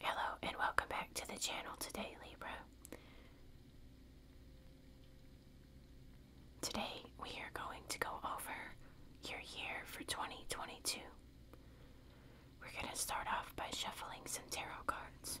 Hello and welcome back to the channel today, Libra. Today we are going to go over your year for 2022. We're going to start off by shuffling some tarot cards.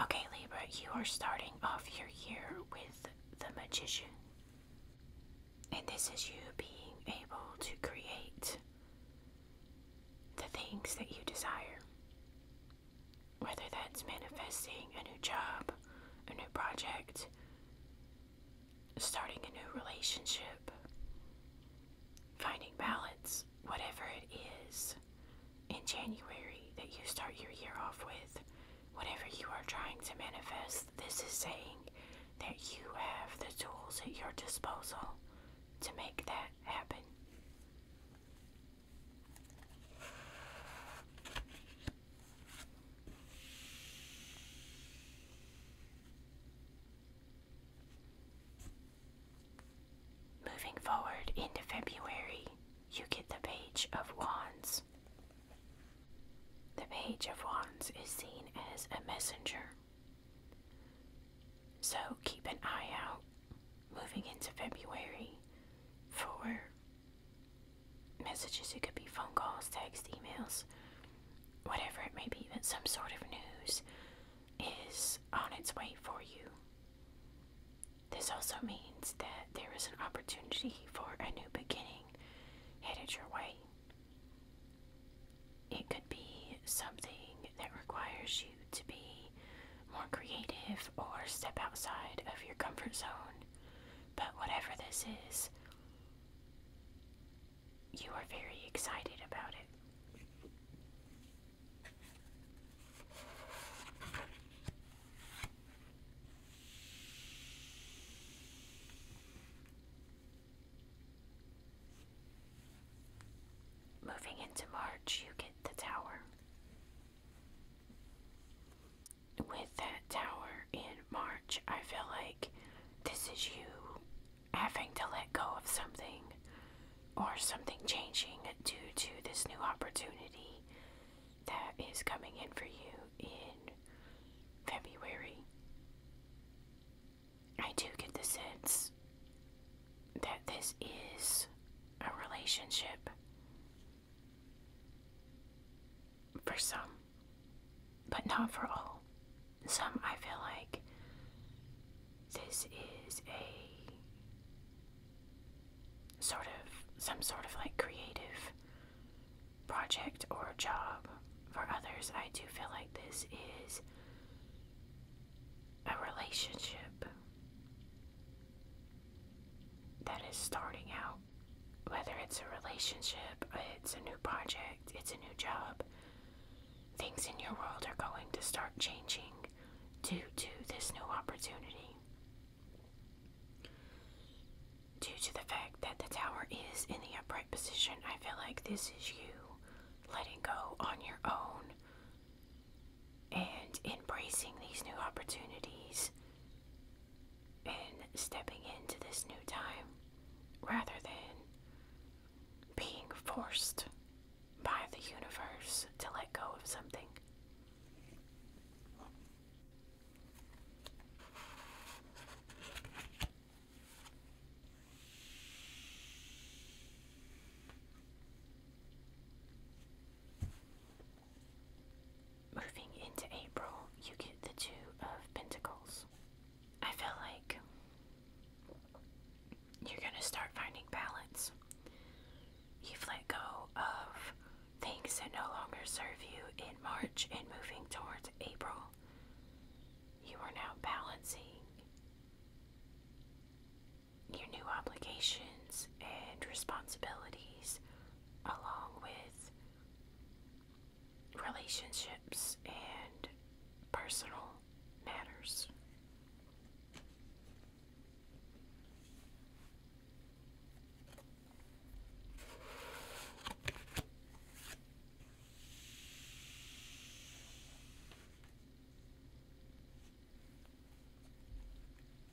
Okay, Libra, you are starting off your year with the Magician. And this is you being able to create the things that you desire. Whether that's manifesting a new job, a new project, starting a new relationship, finding balance, whatever it is in January that you start your year off with, whatever you are trying to manifest, this is saying that you have the tools at your disposal to make that happen. Moving forward into February, you get the Page of Wands. The Page of Wands is seen as a messenger. So keep an eye out moving into February for messages, it could be phone calls, text, emails, whatever it may be, that some sort of news is on its way for you. This also means that there is an opportunity for a new beginning headed your way. It could be something that requires you to be more creative or step outside of your comfort zone. But whatever this is, you are very excited about it. Moving into March, you get the tower with that tower in March, I feel like this is you having to let go of something or something changing due to this new opportunity that is coming in for you in February. I do get the sense that this is a relationship for some but not for all. Some I feel like this is a sort of some sort of like creative project or job. For others, I do feel like this is a relationship that is starting out whether it's a relationship, it's a new project, it's a new job, things in your world are going to start changing due to this new opportunity. Due to the fact that the tower is in the upright position, I feel like this is you letting go on your own and embracing these new opportunities in stepping into this new time rather than being forced by the universe to let go of something moving into April, you get the Two of Pentacles. I feel like you're going to start finding balance. You've let go of things that no longer serve you in March and moving towards April. You are now balancing your new obligations and responsibilities along with relationships and personal matters.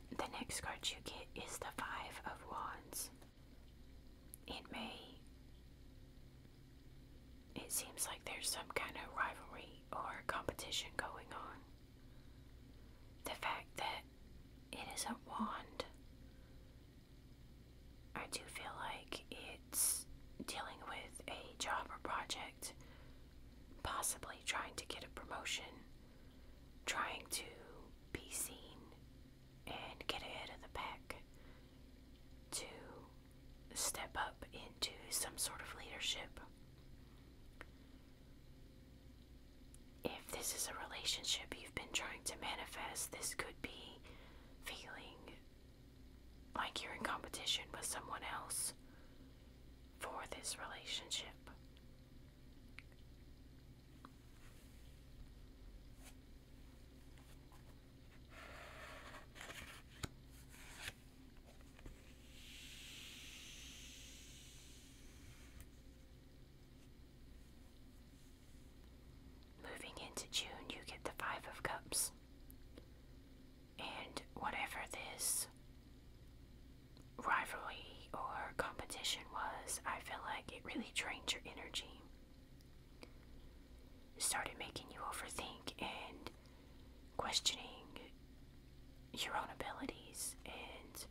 The next card you get is the Five of Wands. It may. It seems like there's some kind of rivalry or competition going on. The fact that it is a wand, I do feel like it's dealing with a job or project, possibly trying to get a promotion, trying to be seen, and get ahead of the pack to step up into some sort of leadership. If this is a relationship you've been trying to manifest, this could be feeling like you're in competition with someone else for this relationship. Moving into June, you get the Five of Cups. And whatever this rivalry or competition was, I feel like it really drained your energy started making you overthink and questioning your own abilities and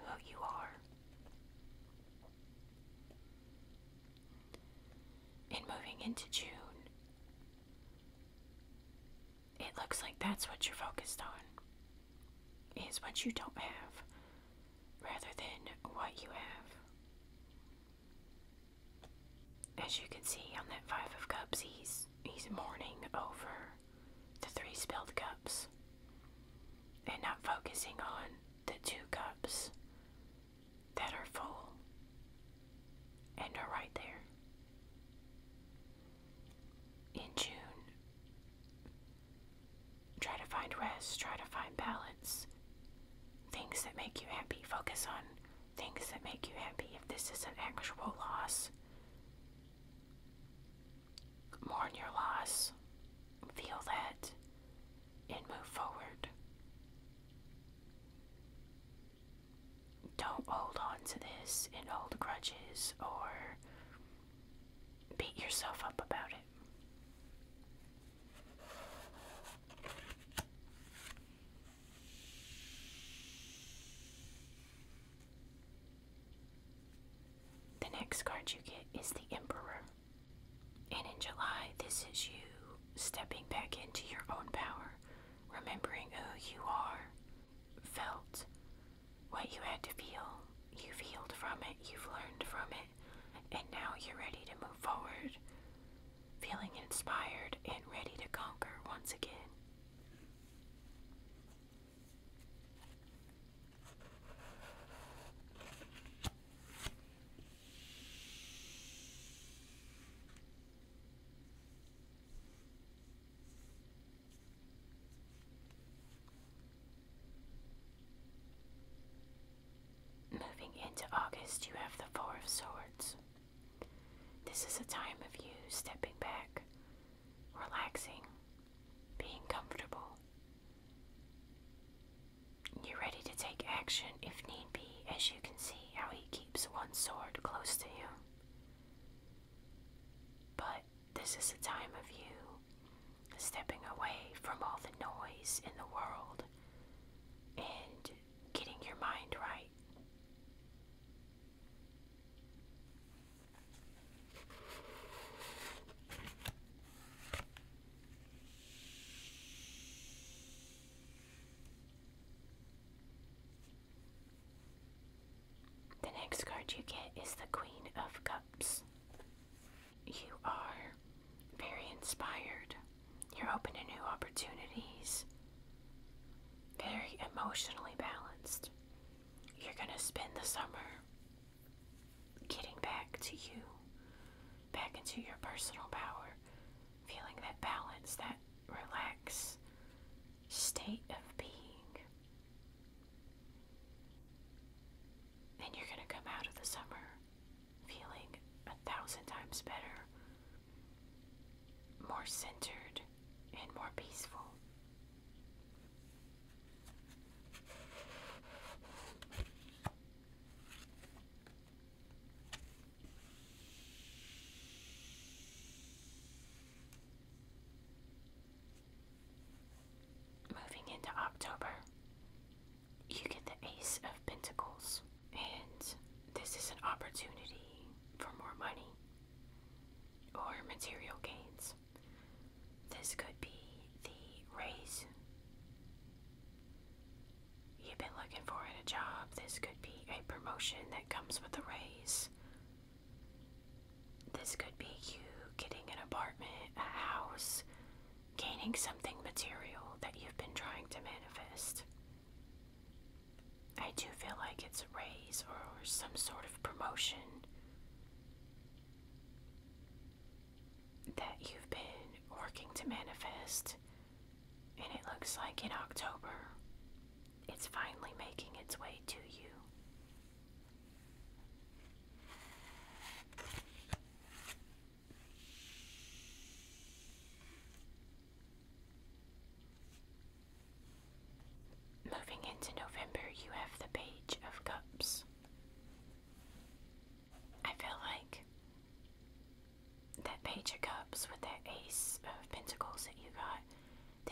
who you are. And moving into June, it looks like that's what you're focused on, is what you don't have rather than what you have. As you can see on that Five of Cups, he's, he's mourning over the three spilled cups and not focusing on the two cups that are full and are right there. In June, Try to find rest, try to find balance. Things that make you happy. Focus on things that make you happy if this is an actual loss. Mourn your loss. Feel that and move forward. Don't hold on to this and old grudges or beat yourself up about it. The next card you get is the Emperor. And in July, this is you stepping back into your own power, remembering who you are, felt what you had to feel, you've healed from it, you've learned from it and now you're ready to move forward, feeling inspired and ready to conquer once again. Moving into August, you have the Four of Swords. This is a time of you stepping back, relaxing, being comfortable. You're ready to take action if need be, as you can see how he keeps one sword close to you. But this is a time of you stepping away from all the noise in the world and getting your mind right. The next card you get is the Queen of Cups. You are very inspired. You're open to new opportunities. Very emotionally balanced. You're going to spend the summer getting back to you, back into your personal power, feeling that balance, that relaxed state of being. and you're going to come out of the summer feeling a thousand times better, more centered, and more peaceful. Moving into October, you get the Ace of Pentacles, and this is an opportunity for more money or material gains. This could be the raise you've been looking for at a job. This could be a promotion that comes with a raise. This could be you getting an apartment, a house, gaining something material that you've been trying to manifest. I do feel like it's a raise or some sort of promotion that you've been working to manifest, and it looks like in October it's finally making its way to you. Moving into November, you have the Page of Cups. I feel like that Page of Cups with the Ace of Pentacles that you got,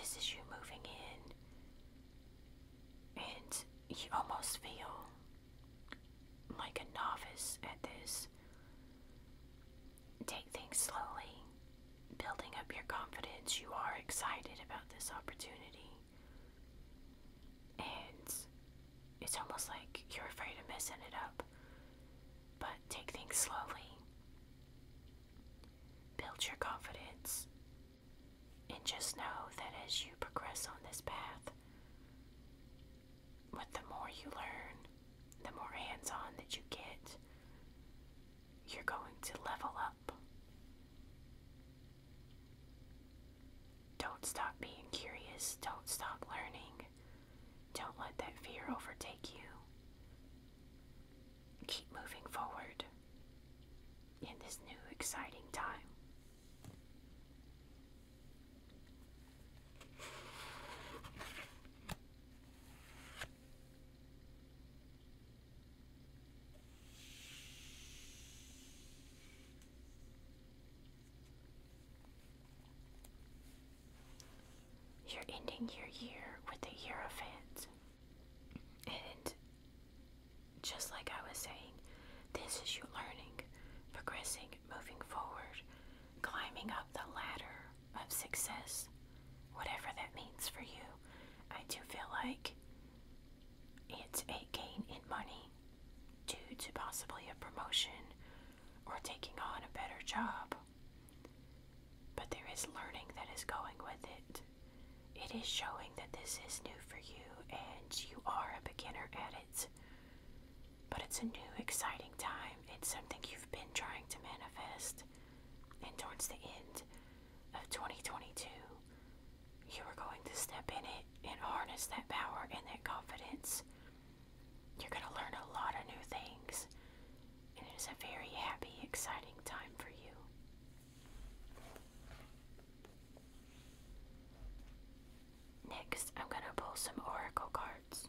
this is you moving in, and you almost feel like a novice at this. Take things slowly, building up your confidence. You are excited about this opportunity, and it's almost like you're afraid of messing it up. But take things slowly, build your confidence, and just know that as you progress on this path, but the more you learn, the more hands on that you get, you're going to level up. Don't stop being curious. Don't stop learning. Don't let that fear overtake you. Keep moving forward in this new exciting time. You're ending your year with a year of it. And just like I was saying, this is you learning, progressing, moving forward, climbing up the ladder of success, whatever that means for you. I do feel like it's a gain in money due to possibly a promotion or taking on a better job. But there is learning that is going with it. It is showing that this is new for you and you are a beginner at it. But it's a new, exciting time. It's something you've been trying to manifest. And towards the end of 2022, you are going to step in it and harness that power and that confidence. You're going to learn a lot of new things. And it is a very happy, exciting time for you. Next, I'm going to pull some oracle cards.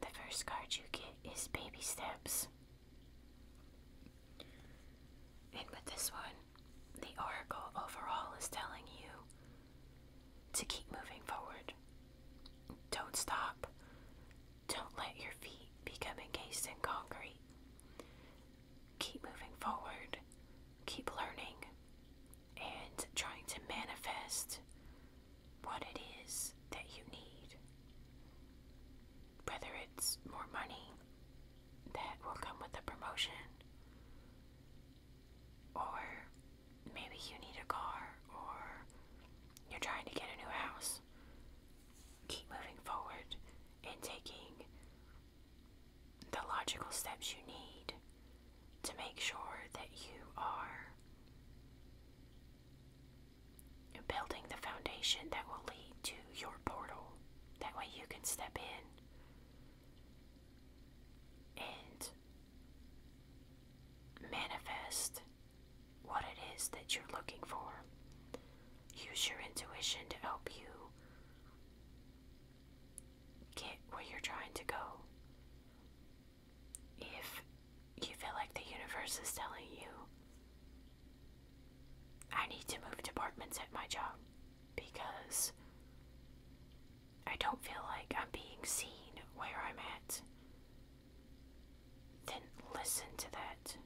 The first card you get is Baby Steps. And with this one, the oracle overall is telling you to keep moving forward. Don't stop. Don't let your feet become encased in concrete. Keep moving forward, keep learning, and trying to manifest what it is that you need. Whether it's more money that will come with a promotion, or maybe you need a car, or you're trying to get a new house keep moving forward and taking the logical steps you need to make sure that you are building the foundation that will lead to your portal. That way you can step in and manifest what it is that you're looking for. Use your intuition to help you get where you're trying to go. If you feel like the universe is telling you, I need to move departments at my job because I don't feel like I'm being seen where I'm at then listen to that.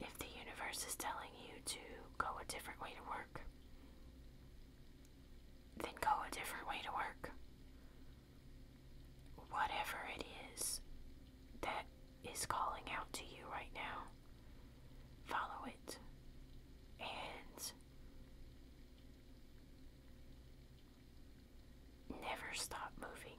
If the universe is telling you to go a different way to work, then go a different way to work. Whatever it is that is calling out to you right now, follow it. And never stop moving.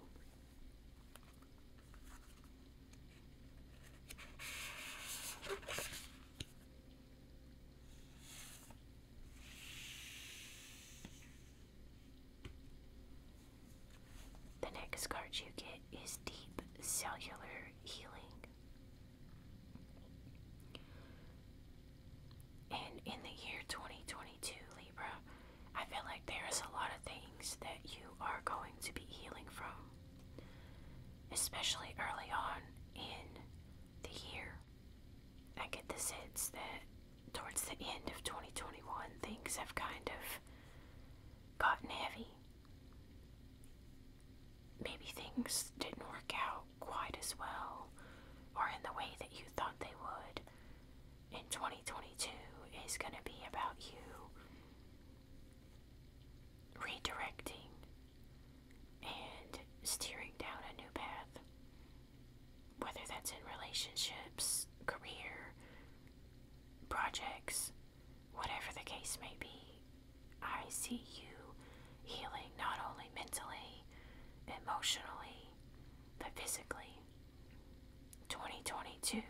The next card you get is Deep Cellular Healing. And in the year 2020, 2022, Libra, I feel like there is a lot of things that you are going to be healing from, especially early on in the year. I get the sense that towards the end of 2021, things have kind of gotten heavy. Maybe things didn't work out quite as well or in the way that you thought they would in 2022 is going to be about you redirecting and steering down a new path, whether that's in relationships, career, projects, whatever the case may be. I see you healing not only mentally, emotionally, but physically. 2022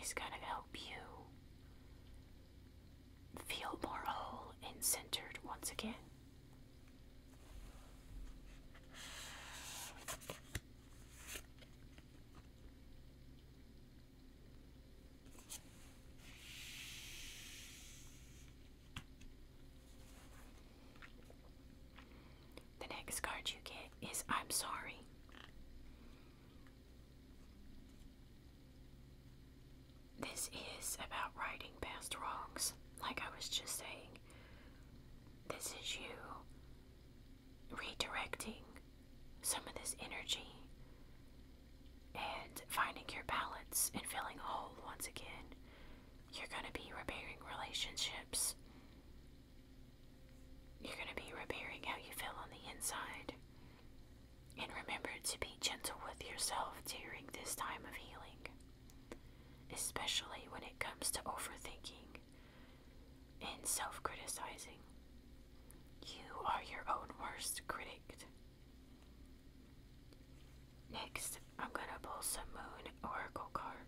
is going to help you feel more whole and centered once again. The next card you get is I'm sorry. This is about righting past wrongs, like I was just saying. This is you redirecting some of this energy and finding your balance and feeling whole once again. You're going to be repairing relationships you're going to be repairing how you feel on the inside. And remember to be gentle with yourself during this time of healing, especially when it comes to overthinking and self criticizing. You are your own worst critic. Next, I'm going to pull some Moon Oracle cards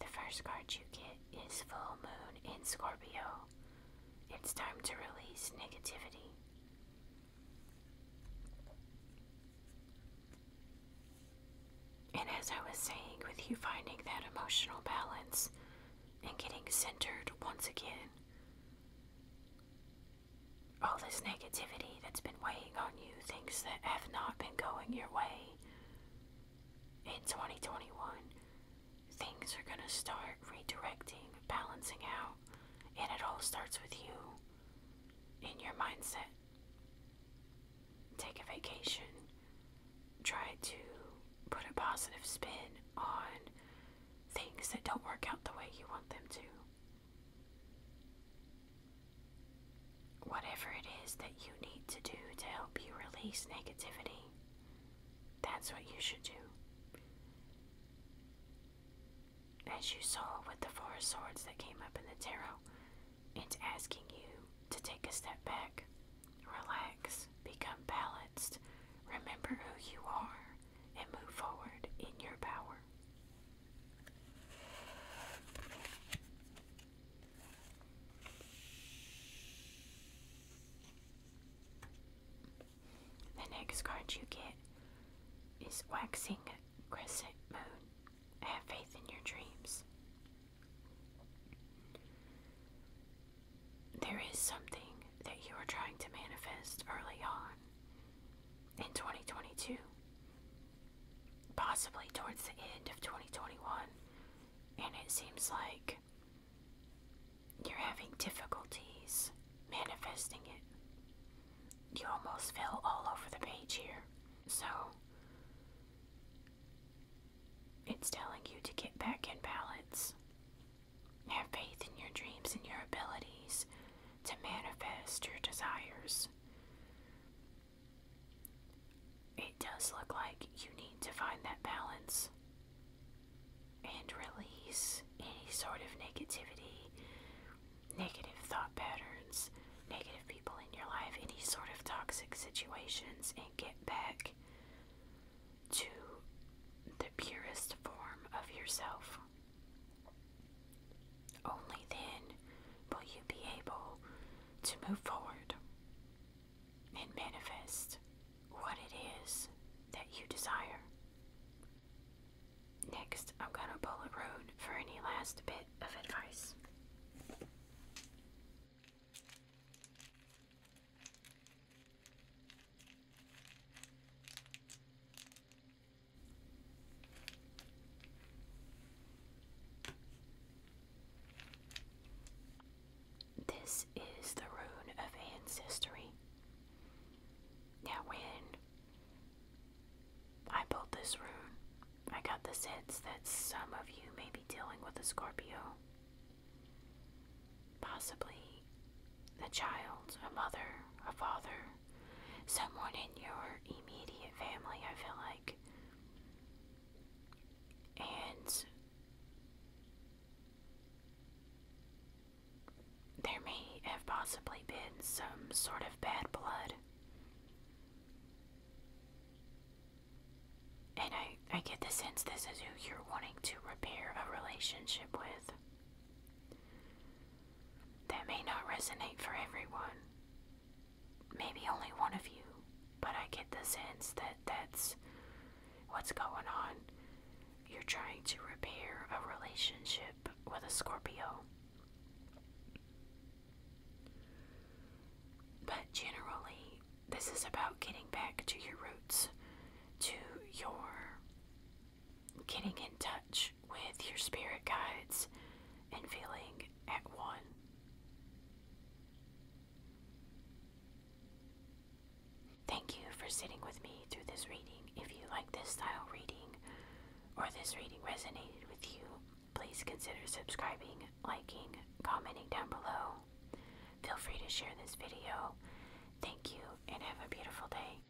The first card you get is Full Moon in Scorpio. It's time to release negativity. And as I was saying, with you finding that emotional balance and getting centered once again, all this negativity that's been weighing on you, things that have not been going your way in 2021, things are going to start redirecting, balancing out, and it all starts with you in your mindset take a vacation, try to put a positive spin on things that don't work out the way you want them to. Whatever it is that you need to do to help you release negativity, that's what you should do. As you saw with the Four Swords that came up in the tarot, it's asking you to take a step back, relax, become balanced, remember who you are, and move forward in your power. The next card you get is Waxing Crescent Moon. Have faith in your dreams. There is something that you are trying to manifest early on in 2022, possibly towards the end of 2021, and it seems like you're having difficulties manifesting it. You almost fell all over the page here. So it's telling you to get back in balance. Have faith in your dreams and your abilities to manifest your desires. It does look like you need to find that balance and release any sort of negativity negative thought patterns, negative people in your life, any sort of toxic situations, and get back to the purest form of yourself. Only then will you be able to move forward and manifest what it is that you desire. Next, I'm going to pull bullet road for any last bit of advice. This is the rune of ancestry. Now, when I built this room. I got the sense that some of you may be dealing with a Scorpio. Possibly a child, a mother, a father, someone in your immediate family, I feel like. And there may have possibly been some sort of bad blood. And I, I get the sense this is who you're wanting to repair a relationship with. That may not resonate for everyone. Maybe only one of you, but I get the sense that that's what's going on. You're trying to repair a relationship with a Scorpio. But generally, this is about getting back to your roots, to your getting in touch with your spirit guides and feeling at one. Thank you for sitting with me through this reading. If you like this style reading or this reading resonated with you, Please consider subscribing, liking, commenting down below. Feel free to share this video. Thank you and have a beautiful day.